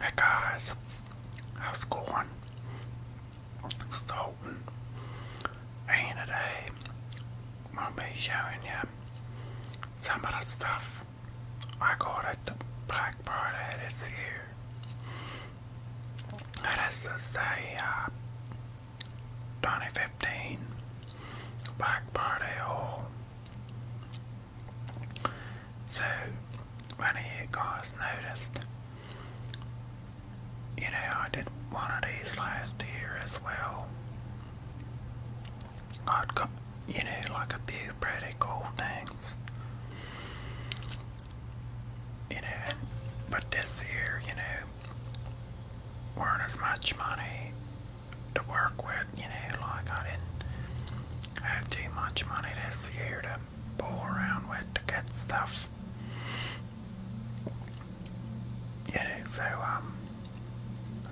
Hey guys, how's it going? So, today I'm gonna be showing you some of the stuff I got at Black Friday this year. That is to say, uh, 2015 Black Friday haul. So when you guys noticed, you know, I did one of these last year as well. I'd got, you know, like a few pretty cool things. You know, but this year, you know, weren't as much money to work with, you know, like I didn't have too much money this year to pull around with to get stuff. You know, so um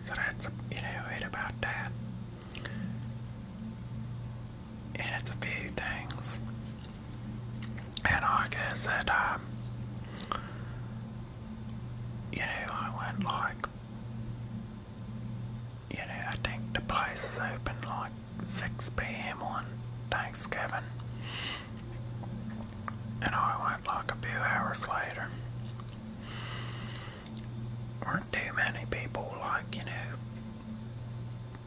so that's you know it about that. And it's a few things. And I guess that um you know, I went like you know, I think the place is open like 6 p.m. on Thanksgiving, and I went like a few hours later. Weren't too many people, like, you know,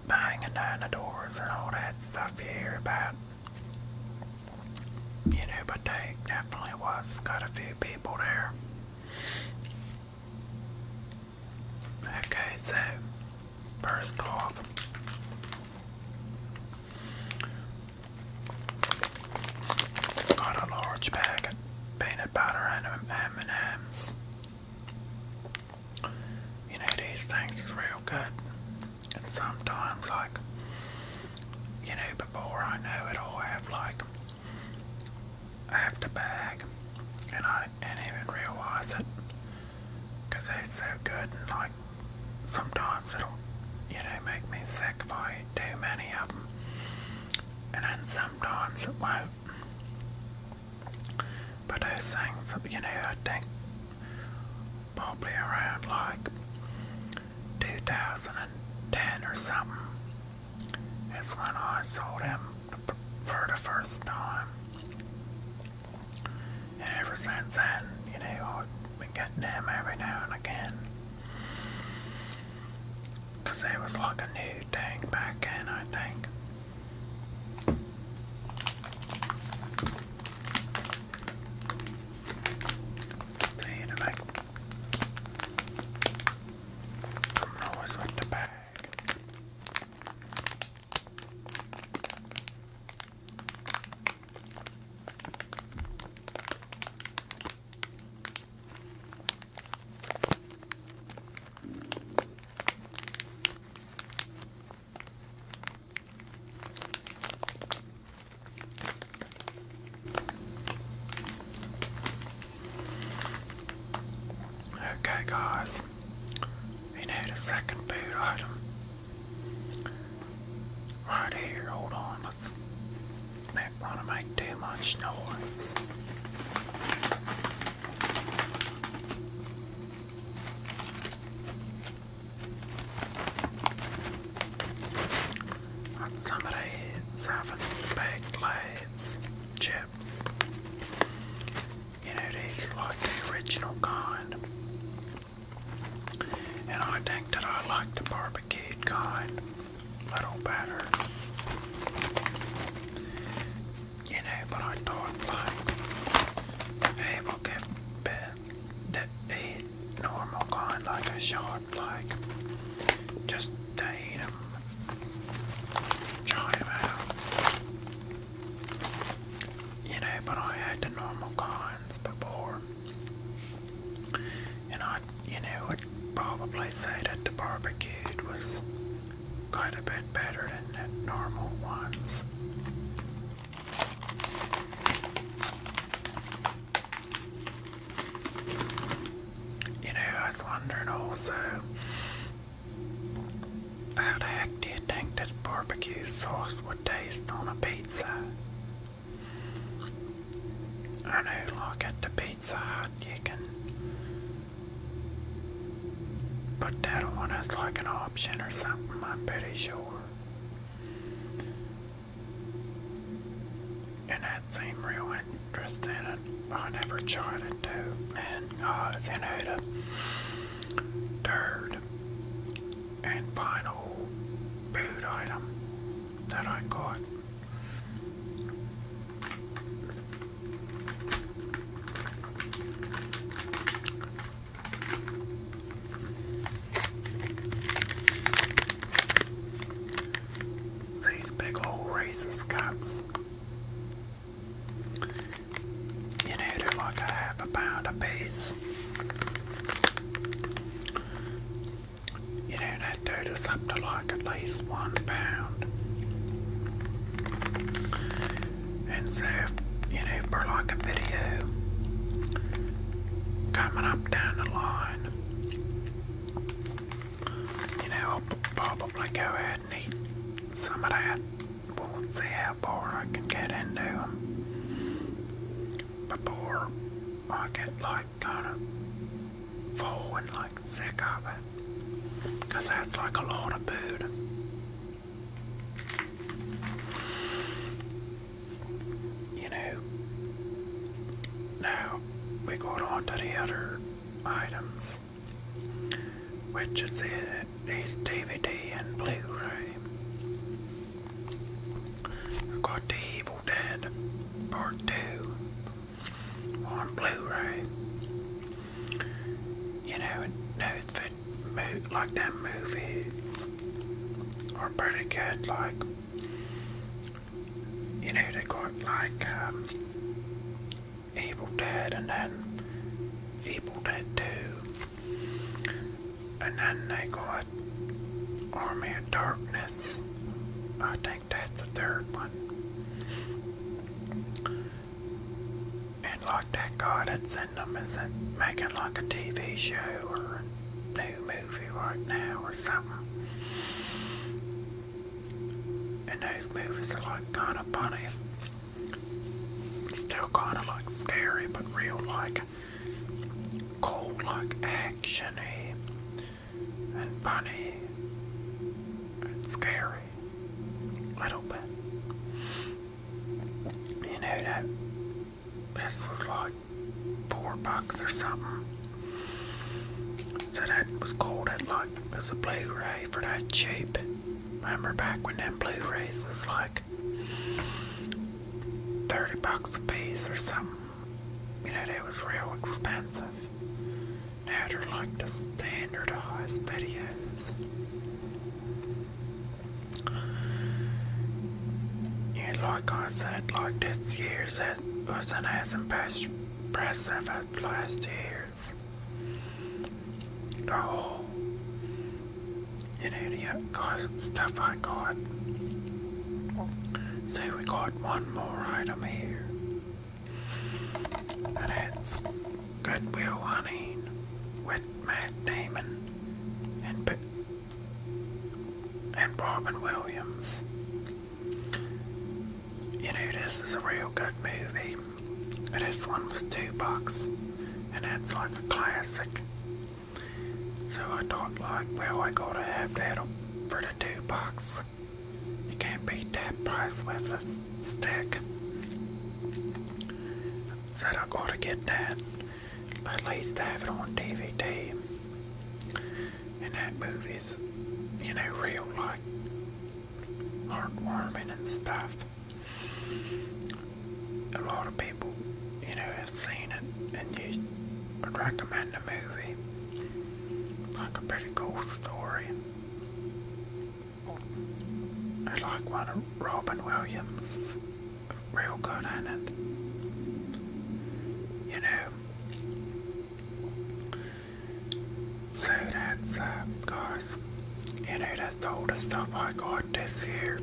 banging down the doors and all that stuff you hear You know, but they definitely was got a few people there. Okay, so first off, got a large bag of peanut butter and M&M's. You know these things is real good, and sometimes like you know before I know it, I'll have like I have to bag, and I didn't even realize it because they're so good. And like sometimes it'll, you know, make me sick if too many of them, and then sometimes it won't. But those things, you know, I think probably around like 2010 or something is when I sold him for the first time. And ever since then, you know, I've been getting him every now and again. Because it was like a new thing back then, I think. See, Always with the bag. Okay, guys, we need a second boot item. Right here, hold on, let's not want to make too much noise. And somebody's having baked lays chips. You know, these like the original kind. And I think that I like the barbecued kind a little better. You know, but I thought like, hey, will give Ben that hit normal kind like a sharp like just to hit him out you know but I had the normal kinds before and I you know would probably say that the barbecued was quite a bit better than the normal ones you know, I was wondering also how the heck do you think that barbecue sauce would taste on a pizza? I know, like at the Pizza Hut, you can but that one as like an option or something, I'm pretty sure. And that seem real interested in it. I never tried it too. And uh, it's in a uh, third and final food item that I got. These big old raises cups. You know, they're like a half a pound a piece. You know, that do is up to like at least one pound. And so, you know, for like a video coming up down the line, you know, I'll probably go ahead and eat some of that. We'll see how far I can get into them but before I get like kind of full and like sick of it. Because that's like a lot of food. You know, now we go on to the other items, which is these DVD and Blu-ray. I've got The Evil Dead Part 2 on Blu-ray. You know, no, like that movies are pretty good. Like you know they got like um, Evil Dead and then Evil Dead Two, and then they got Army of Darkness. I think that's the third one. And like that guy that's in them isn't making like a TV show or a new movie right now or something. And those movies are like kind of funny. Still kind of like scary, but real like cool, like actiony and funny and scary. Little bit. You know that this was like four bucks or something. So that was called it like as a Blu-ray for that cheap. Remember back when them Blu-rays was like thirty bucks a piece or something. You know they was real expensive. Now they're like the standardized videos. And like I said, like this year's that wasn't as impressive as last year's. The you know, the uh, stuff I got. So we got one more item here. And that's Goodwill Hunting with Matt Damon and P and Robin Williams. You know, this is a real good movie. and this one was two bucks, and it's like a classic. So I thought, like, well, I gotta have that for the two bucks. You can't beat that price with us stack. Said I gotta get that. At least to have it on DVD. And that movie's, you know, real, like, heartwarming and stuff. A lot of people, you know, have seen it and you would recommend the movie. Like a pretty cool story. I like one of Robin Williams' real good in it. You know. So that's uh, guys. You know that's all the stuff I got this year.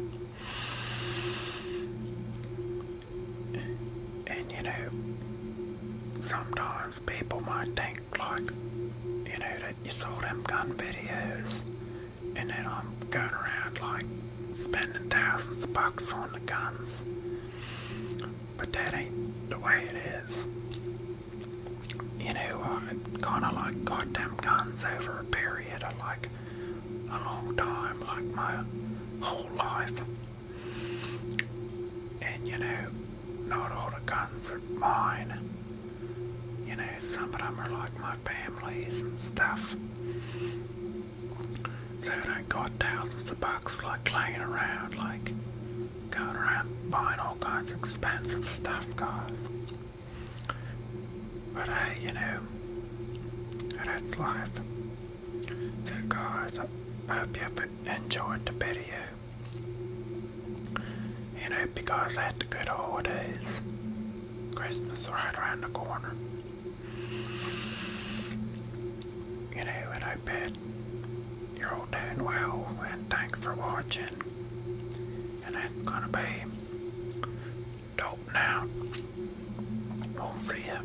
And you know sometimes people might think, like, you know, that you saw them gun videos, and then I'm going around, like, spending thousands of bucks on the guns. But that ain't the way it is. You know, I kind of like goddamn guns over a period of like a long time, like my whole life. And you know, not all the guns are mine. You know, some of them are like my family's and stuff. So I don't got thousands of bucks like laying around, like going around buying all kinds of expensive stuff, guys. But hey, you know, that's life. So guys, I hope you have enjoyed the video. You know, because at the good holidays, Christmas right around the corner. You know, and I bet you're all doing well, and thanks for watching. And that's gonna be dope now. We'll see ya.